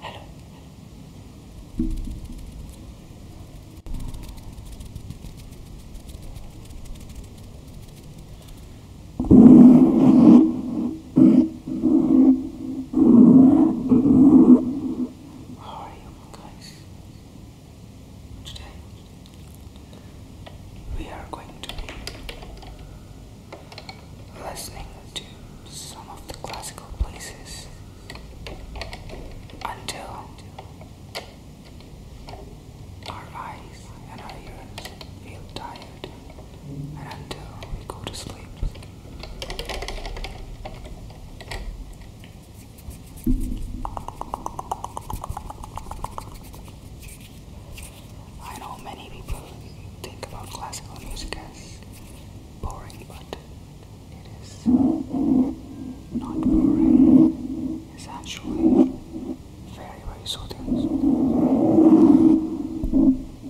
Hello. How are you guys? Today we are going to be listening to some of the classical places until our eyes and our ears feel tired and until we go to sleep. I know many people think about classical music as boring, but it is not boring. It's actually very, very soothing.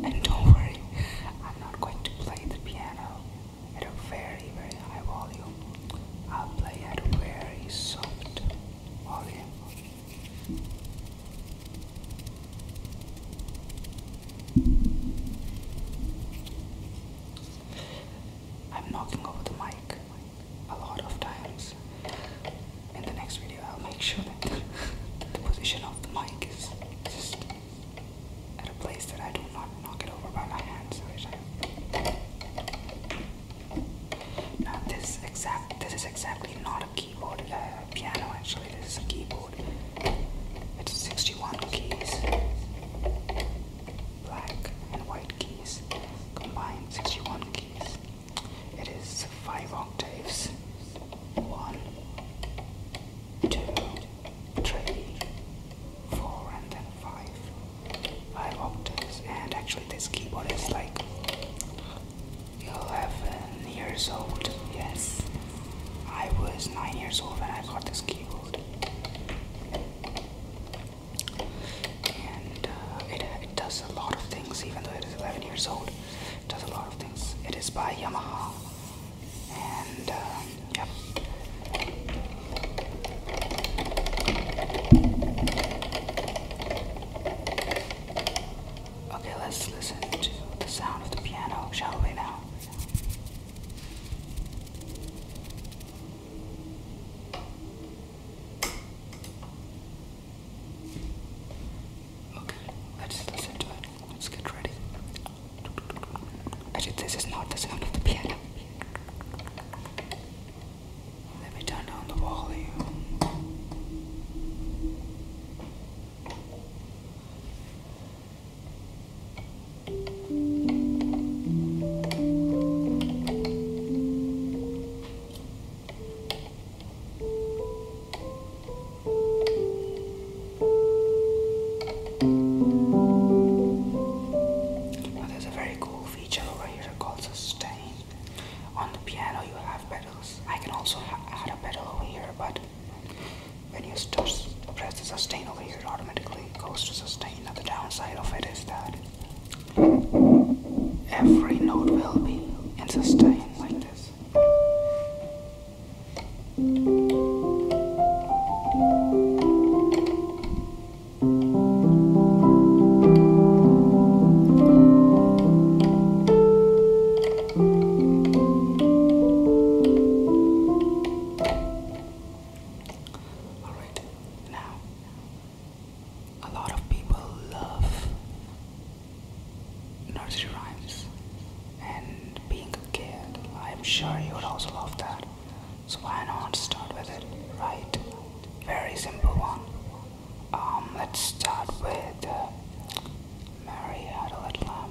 And don't worry, I'm not going to play the piano at a very, very high volume. I'll play at a very soft volume. I'm knocking over the mic a lot of times. In the next video, I'll make sure that the position of the mic is just at a place that I do not knock it over by my hands. Now this exact this is exactly not a keyboard, a uh, piano actually, this is a keyboard. It's 61 keys. Black and white keys. Combined 61 keys. It is five octaves. One, two, three, four, and then five. Five octaves, and actually, this keyboard is like 11 years old. Yes, I was 9 years old when I got this keyboard, and uh, it, it does a lot of things, even though it is 11 years old. It does a lot of things. It is by Yamaha. Um, okay, let's listen to the sound of the piano, shall we now? Okay, let's listen to it. Let's get ready. Actually, this is not the sound of the piano. Let me turn down the volume. Now there's a very cool feature over here called sustain. On the piano you have pedals. I can also add a pedal over here, but when you press the sustain over here, it automatically goes to sustain. Now the downside of it is that every note will be in sustain like this. Alright, now a lot of people love nursery rhymes and being a kid, I'm sure you would also love that. So why not start with it, right? Very simple one. Um, let's start with uh, Mary had a little lamb.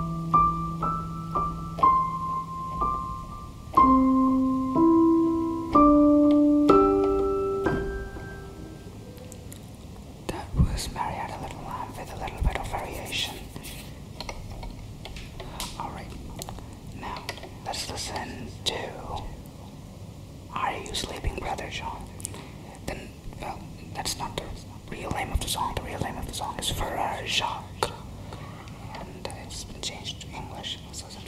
That was Marietta Little Lamb with a little bit of variation. Alright, now let's listen to Are You Sleeping, Brother John? Then well, that's not the real name of the song. The real name of the song is Ferrer And it's been changed to English. Let's listen to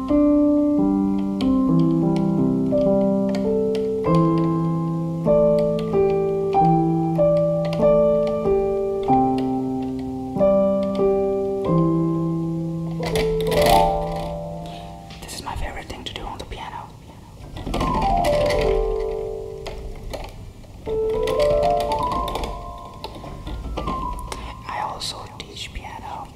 This is my favorite thing to do on the piano. I also who teach piano,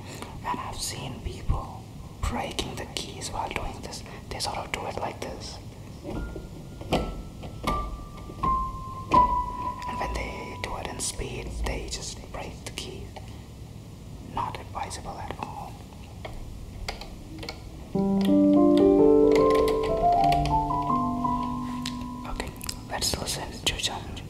and I've seen people breaking the keys while doing this. They sort of do it like this. And when they do it in speed, they just break the keys. Not advisable at all. Okay, let's listen to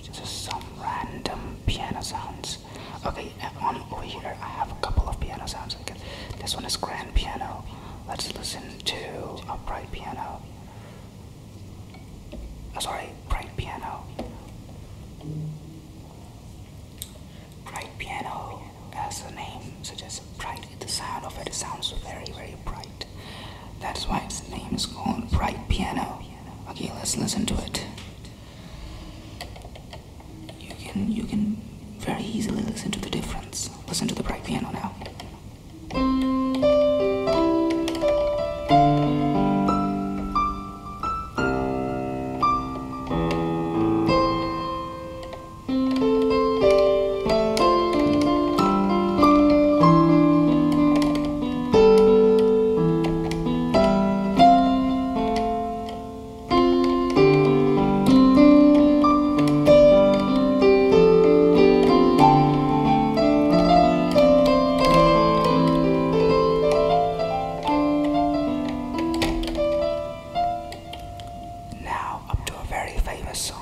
just some random piano sounds. Okay, uh, on over here I have a couple of piano sounds. Okay, this one is grand piano. Let's listen to upright piano. Oh, sorry, bright piano. Bright piano, as the name suggests, bright. The sound of it sounds very, very bright. That's why its name is called Bright Piano. Okay, let's listen to it. You can you can very easily listen to the difference. Listen to the bright piano now. Now, up to a very famous song.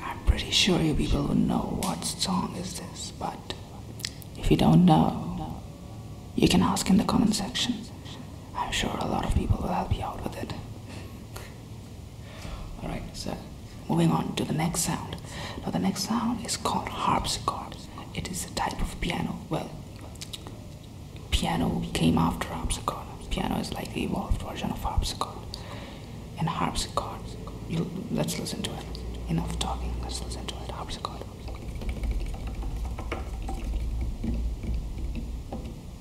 I'm pretty sure you people would know what song is this, but if you don't know, you can ask in the comment section. I'm sure a lot of people will help you out with it. All right, so moving on to the next sound. Now the next sound is called harpsichord. It is a type of piano. Well, piano came after harpsichord. Piano is like the evolved version of harpsichord. And harpsichord, let's listen to it. Enough talking, let's listen to it. Harpsichord.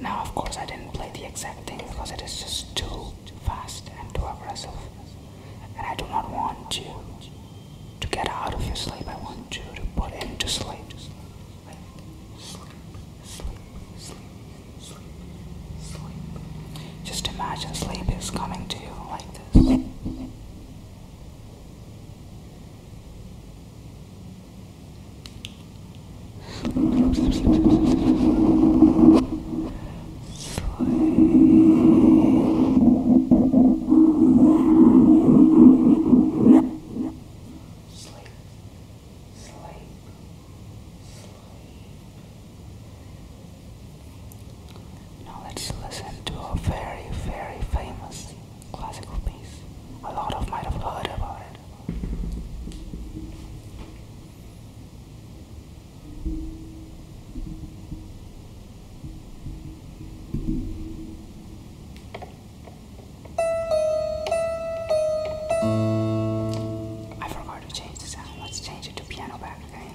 Now, of course, I didn't play the exact thing because it is just too fast and too aggressive and I do not want you to get out of your sleep. I want you to put into sleep. Sleep, sleep, sleep, sleep, sleep, sleep. Just imagine sleep is coming to you like this. sleep, sleep, sleep, sleep, sleep sleep, sleep, Now let's listen to a very, very famous classical piece. A lot of might have heard about it. I forgot to change the sound. Let's change it to piano back again.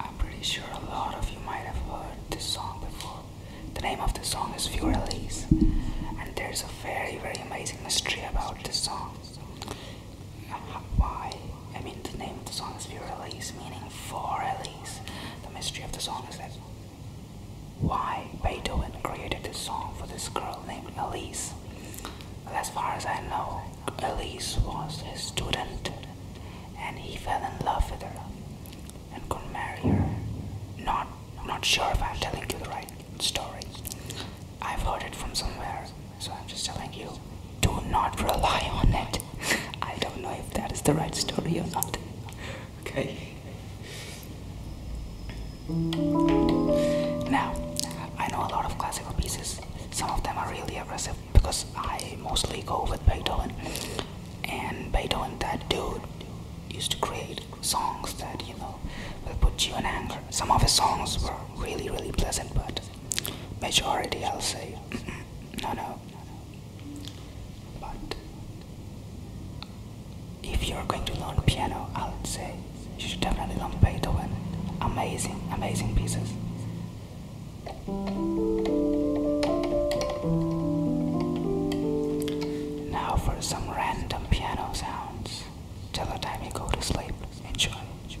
I'm pretty sure a lot of you might have heard this song before. The name of the song is Few Release, and there's a very, very amazing mystery about this song. Why? I mean, the name of the song is Few Release, meaning four release. The mystery of the song is that why Beethoven created this song for this girl named Elise. As far as I know, Elise was his student and he fell in love with her and could marry her. Not, I'm not sure if I'm telling you the right story. I've heard it from somewhere, so I'm just telling you. Do not rely on it. I don't know if that is the right story or not. Okay. Now, I know a lot of classical pieces. Some of them are really aggressive, because I mostly go with Beethoven and Beethoven that dude used to create songs that you know will put you in anger some of his songs were really really pleasant but majority I'll say no, no no but if you're going to learn piano I'll say you should definitely learn Beethoven amazing amazing pieces now for some random piano sounds. Till the time you go to sleep. Enjoy. Enjoy.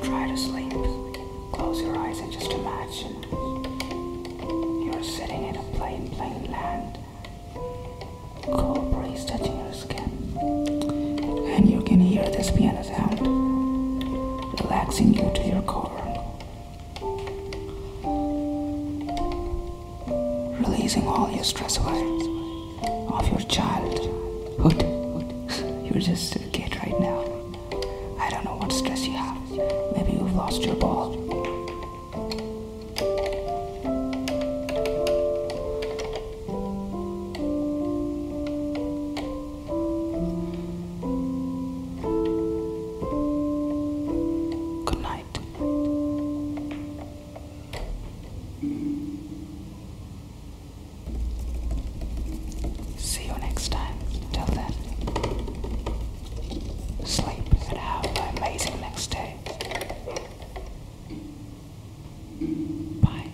Try to sleep. Close your eyes and just imagine you're sitting in a plain, plain land. Cold breeze touching your skin. And you can hear this piano sound, relaxing you to your core releasing all your stress away of your childhood. You're just a kid right now. I don't know what stress you have. Maybe you've lost your ball. Good night. See you next time. Till then, sleep and have an amazing next day. Bye.